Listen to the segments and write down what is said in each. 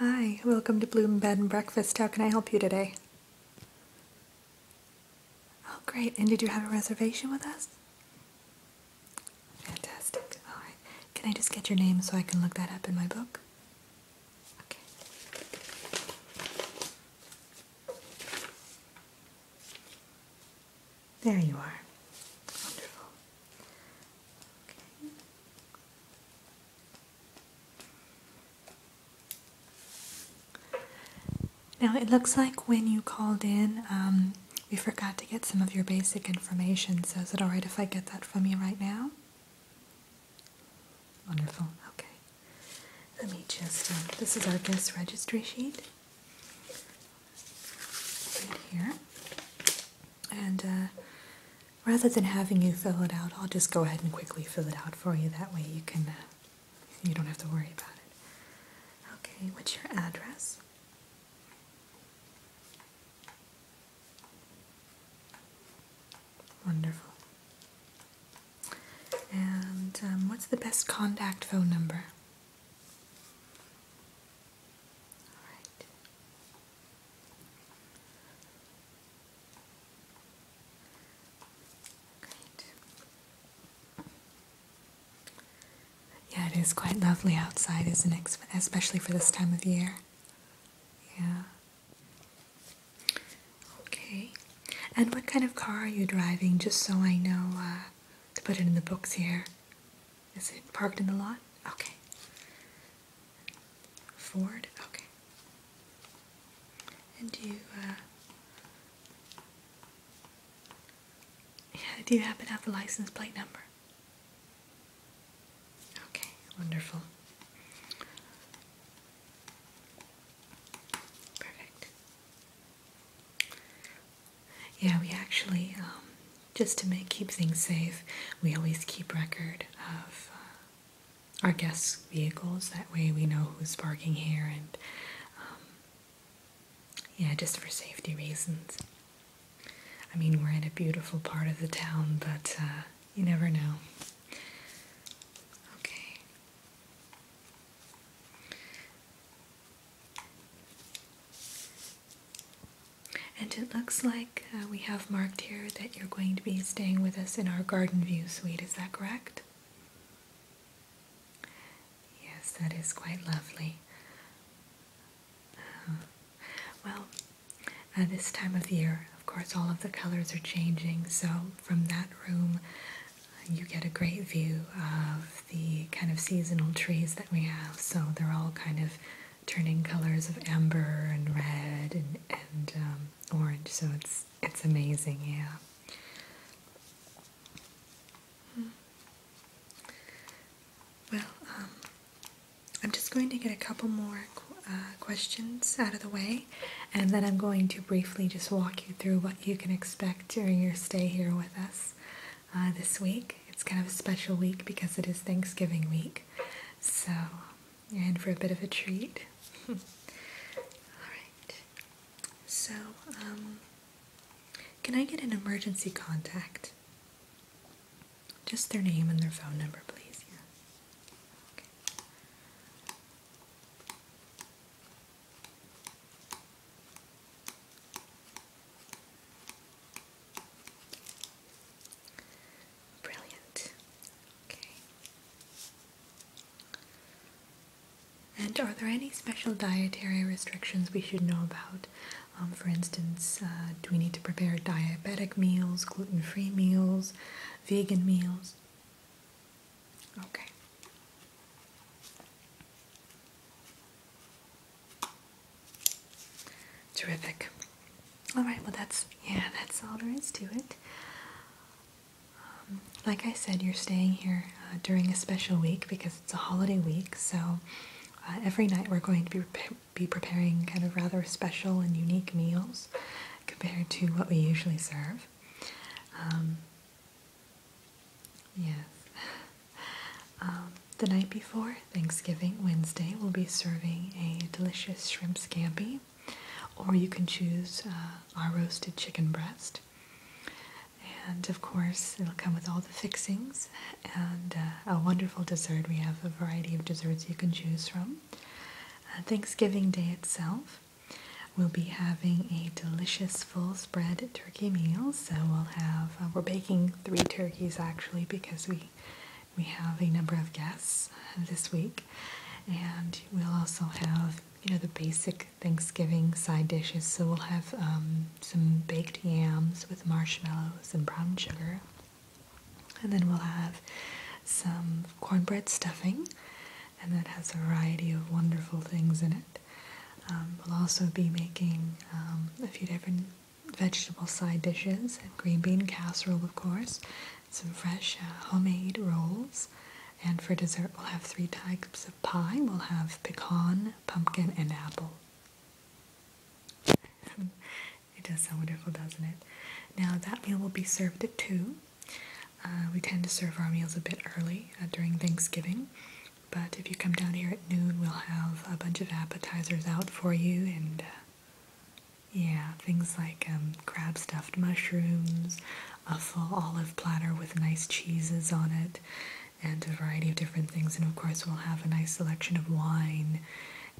Hi, welcome to Bloom Bed and Breakfast. How can I help you today? Oh, great. And did you have a reservation with us? Fantastic. Can I just get your name so I can look that up in my book? There you are. Wonderful. Okay. Now it looks like when you called in, um, we forgot to get some of your basic information. So is it alright if I get that from you right now? Wonderful. Okay. Let me just, um, this is our guest registry sheet right here. And uh, rather than having you fill it out, I'll just go ahead and quickly fill it out for you. That way you can, uh, you don't have to worry about it. Okay, what's your address? Wonderful. And um, what's the best contact phone number? All right. Yeah, it is quite lovely outside, isn't it? Especially for this time of year. Yeah. Okay. And what kind of car are you driving, just so I know uh, to put it in the books here? Is it parked in the lot? Okay. Ford? Okay. And do you, uh, yeah, do you happen to have the license plate number? Okay, wonderful. Perfect. Yeah, we actually, um, just to keep things safe, we always keep record of uh, our guests' vehicles. That way, we know who's parking here, and um, yeah, just for safety reasons. I mean, we're in a beautiful part of the town, but uh, you never know. Okay. And it looks like uh, we have marked here that you're going to be staying with us in our Garden View suite, is that correct? Yes, that is quite lovely. Uh-huh. well, at uh, this time of year, of course, all of the colors are changing, so from that room you get a great view of the kind of seasonal trees that we have. So they're all kind of turning colors of amber and red and, and um, orange. So it's it's amazing, yeah. Well, um, I'm just going to get a couple more uh, questions out of the way, and then I'm going to briefly just walk you through what you can expect during your stay here with us uh, this week. It's kind of a special week because it is Thanksgiving week, so you're in for a bit of a treat. All right. So, um, can I get an emergency contact? Just their name and their phone number, please. Brilliant. Okay. And are there any special dietary restrictions we should know about? Um, for instance, uh, do we need to prepare diabetic meals, gluten free meals, vegan meals? Okay. Terrific. All right, well that's yeah, that's all there is to it. Um, like I said, you're staying here uh, during a special week because it's a holiday week. So uh, every night we're going to be be preparing kind of rather special and unique meals compared to what we usually serve. Um, Yes. Um, the night before Thanksgiving Wednesday, we'll be serving a delicious shrimp scampi, or you can choose uh, our roasted chicken breast. And of course, it'll come with all the fixings and uh, a wonderful dessert. We have a variety of desserts you can choose from. Uh, Thanksgiving Day itself, We'll be having a delicious full spread turkey meal. So we'll have uh, we're baking three turkeys actually because we we have a number of guests uh, this week, and we'll also have you know the basic Thanksgiving side dishes. So we'll have um, some baked yams with marshmallows and brown sugar, and then we'll have some cornbread stuffing and that has a variety of wonderful things in it. Um, we'll also be making um, a few different vegetable side dishes, and green bean casserole of course, some fresh uh, homemade rolls, and for dessert we'll have three types of pie. We'll have pecan, pumpkin, and apple. it does sound wonderful, doesn't it? Now that meal will be served at 2, uh, we tend to serve our meals a bit early uh, during Thanksgiving, but if you come down here at noon, we'll have a bunch of appetizers out for you and uh, yeah, things like um, crab stuffed mushrooms, a full olive platter with nice cheeses on it, and a variety of different things. And of course, we'll have a nice selection of wine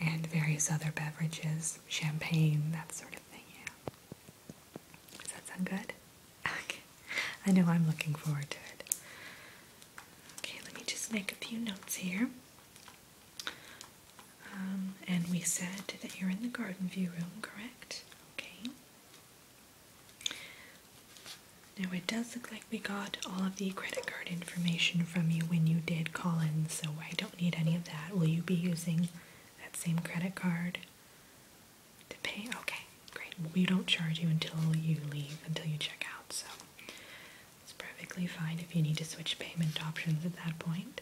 and various other beverages, champagne, that sort of thing. Yeah. Does that sound good? Okay. I know I'm looking forward to it. Okay, let me just make a few notes here. Um, and we said that you're in the garden view room, correct? Okay. Now it does look like we got all of the credit card information from you when you did call in, so I don't need any of that. Will you be using that same credit card? To pay? Okay, great. We don't charge you until you leave, until you check out, so it's perfectly fine if you need to switch payment options at that point.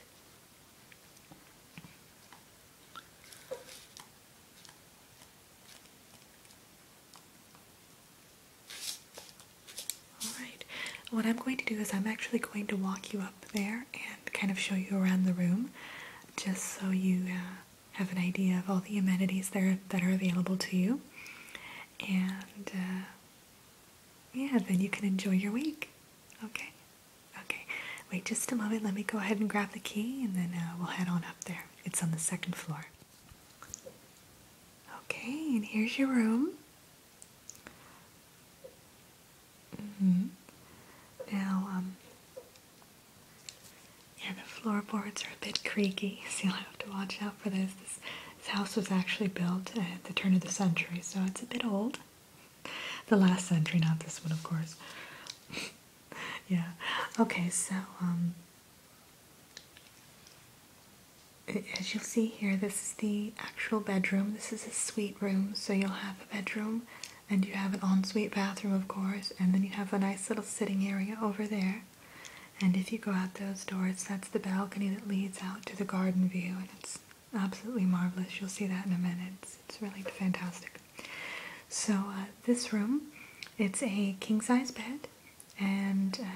Alright, what I'm going to do is I'm actually going to walk you up there and kind of show you around the room just so you uh, have an idea of all the amenities there that are available to you. And uh, yeah, then you can enjoy your week. Okay? Okay. Wait just a moment. Let me go ahead and grab the key and then uh, we'll head on up there. It's on the second floor. Okay, and here's your room. Mm-hmm. Now, um, yeah, the floorboards are a bit creaky, so you'll have to watch out for this. This, this house was actually built at the turn of the century, so it's a bit old. The last century, not this one, of course. yeah. Okay, so um, as you'll see here, this is the actual bedroom. This is a suite room, so you'll have a bedroom and you have an ensuite bathroom, of course, and then you have a nice little sitting area over there. And if you go out those doors, that's the balcony that leads out to the garden view, and it's absolutely marvelous. You'll see that in a minute. It's, it's really fantastic. So uh, this room, it's a king-size bed, and uh,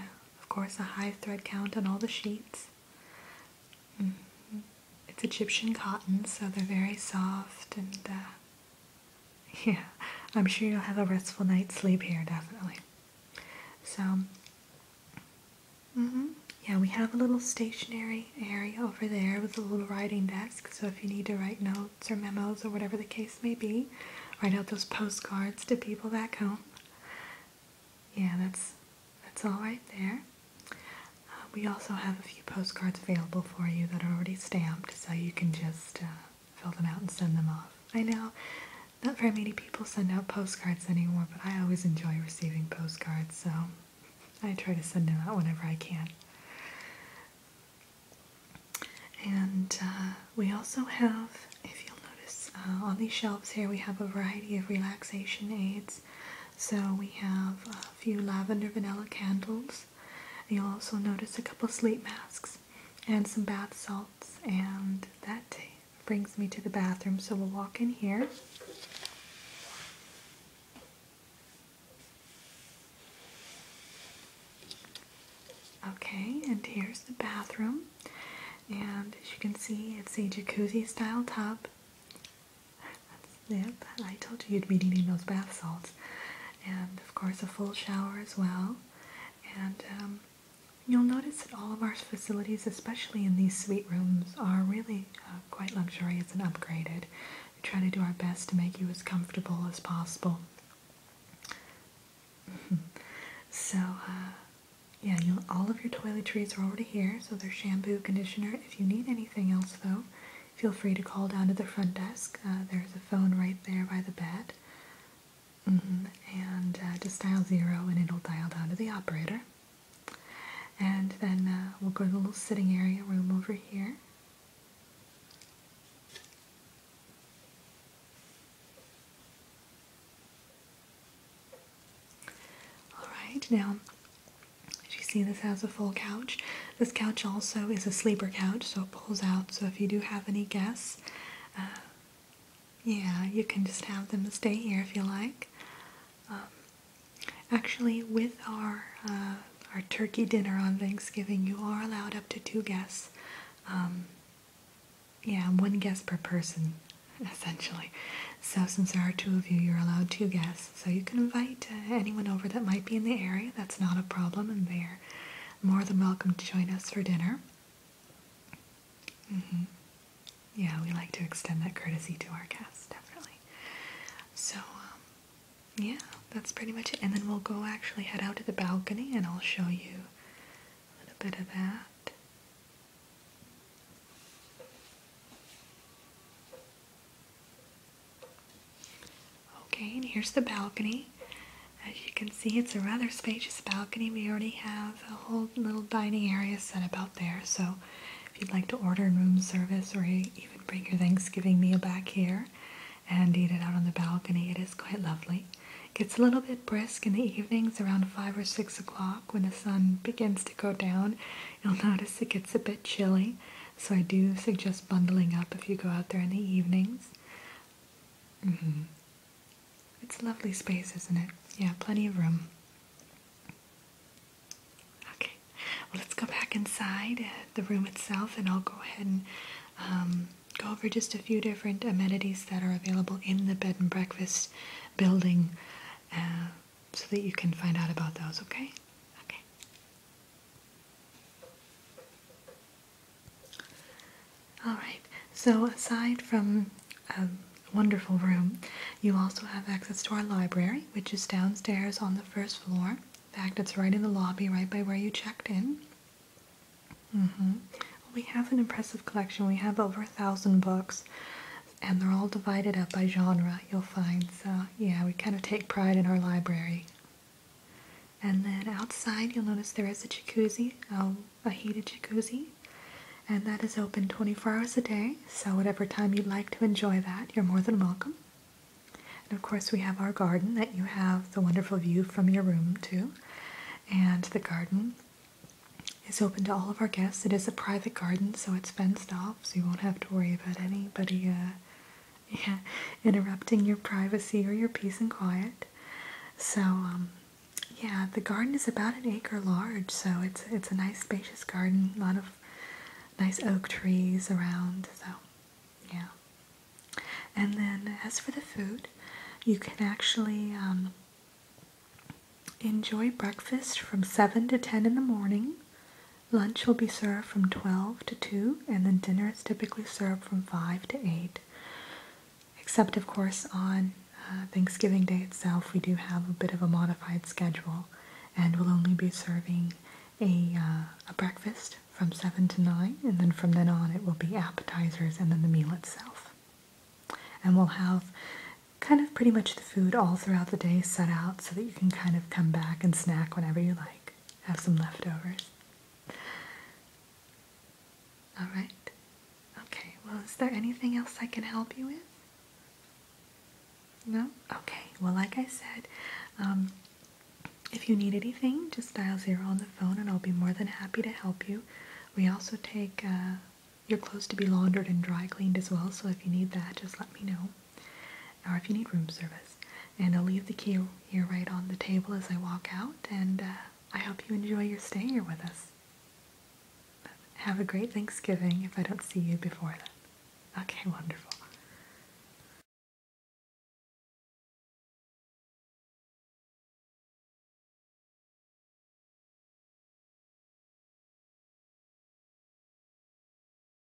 of course a high thread count on all the sheets. Mm-hmm. It's Egyptian cotton, so they're very soft and uh, Yeah, I'm sure you'll have a restful night's sleep here, definitely. So, mm-hmm, yeah, we have a little stationary area over there with a little writing desk. So if you need to write notes or memos or whatever the case may be, write out those postcards to people back home. Yeah, that's that's all right there. Uh, we also have a few postcards available for you that are already stamped, so you can just uh, fill them out and send them off. I know not very many people send out postcards anymore, but I always enjoy receiving postcards, so I try to send them out whenever I can. And uh, we also have, if you'll notice, on these shelves here we have a variety of relaxation aids. So we have a few lavender vanilla candles. You'll also notice a couple sleep masks and some bath salts. And that brings me to the bathroom. So we'll walk in here. Okay, and here's the bathroom. And as you can see, it's a jacuzzi style tub that's I told you you'd be needing those bath salts. And of course a full shower as well. And um, you'll notice that all of our facilities, especially in these suite rooms, are really uh, quite luxurious and upgraded. We try to do our best to make you as comfortable as possible. so, uh, yeah, all of your toiletries are already here, so there's shampoo, conditioner. If you need anything else, though, feel free to call down to the front desk. Uh, there's a phone right there by the bed. Mm-hmm. And uh, just dial zero and it'll dial down to the operator. And then uh, we'll go to the little sitting area room over here. Alright, now as you see, this has a full couch. This couch also is a sleeper couch, so it pulls out. So if you do have any guests, uh, yeah, you can just have them stay here if you like. Um, actually, with our uh, our turkey dinner on Thanksgiving, you are allowed up to two guests. Um, yeah, one guest per person, essentially. So since there are two of you, you're allowed two guests so you can invite uh, anyone over that might be in the area. That's not a problem, and they're more than welcome to join us for dinner. Mm-hmm. Yeah, we like to extend that courtesy to our guests, definitely. So, um, yeah, that's pretty much it. And then we'll go actually head out to the balcony and I'll show you a little bit of that. Okay, and here's the balcony. As you can see, it's a rather spacious balcony. We already have a whole little dining area set up out there. So if you'd like to order room service or even bring your Thanksgiving meal back here and eat it out on the balcony, it is quite lovely. It gets a little bit brisk in the evenings around 5 or 6 o'clock when the sun begins to go down. You'll notice it gets a bit chilly so I do suggest bundling up if you go out there in the evenings. Mm-hmm. It's a lovely space, isn't it? Yeah, plenty of room. Okay, well, let's go back inside uh, the room itself and I'll go ahead and um, go over just a few different amenities that are available in the bed and breakfast building uh, so that you can find out about those, okay? Okay. All right, so aside from a wonderful room, you also have access to our library, which is downstairs on the first floor. In fact, it's right in the lobby, right by where you checked in. Mm-hmm. We have an impressive collection. We have over a thousand books, and they're all divided up by genre, you'll find. So, yeah, we kind of take pride in our library. And then outside, you'll notice there is a jacuzzi, a heated jacuzzi, and that is open 24 hours a day. So, whatever time you'd like to enjoy that, you're more than welcome. And of course, we have our garden that you have the wonderful view from your room, too. And the garden is open to all of our guests. It is a private garden, so it's fenced off, so you won't have to worry about anybody uh, yeah, interrupting your privacy or your peace and quiet. So, um, yeah, the garden is about an acre large, so it's it's a nice spacious garden, a lot of nice oak trees around. So, yeah. And then as for the food, you can actually um, enjoy breakfast from seven to ten in the morning Lunch will be served from 12 to 2, and then dinner is typically served from 5 to 8. Except, of course, on uh, Thanksgiving Day itself, we do have a bit of a modified schedule, and we'll only be serving a, uh, a breakfast from 7 to 9, and then from then on it will be appetizers and then the meal itself. And we'll have kind of pretty much the food all throughout the day set out so that you can kind of come back and snack whenever you like have some leftovers. All right. Okay, well, is there anything else I can help you with? No? Okay, well, like I said, um, if you need anything, just dial zero on the phone and I'll be more than happy to help you. We also take uh, your clothes to be laundered and dry cleaned as well, so if you need that, just let me know or if you need room service. And I'll leave the key here right on the table as I walk out, and uh, I hope you enjoy your stay here with us. have a great Thanksgiving if I don't see you before then. Okay, wonderful.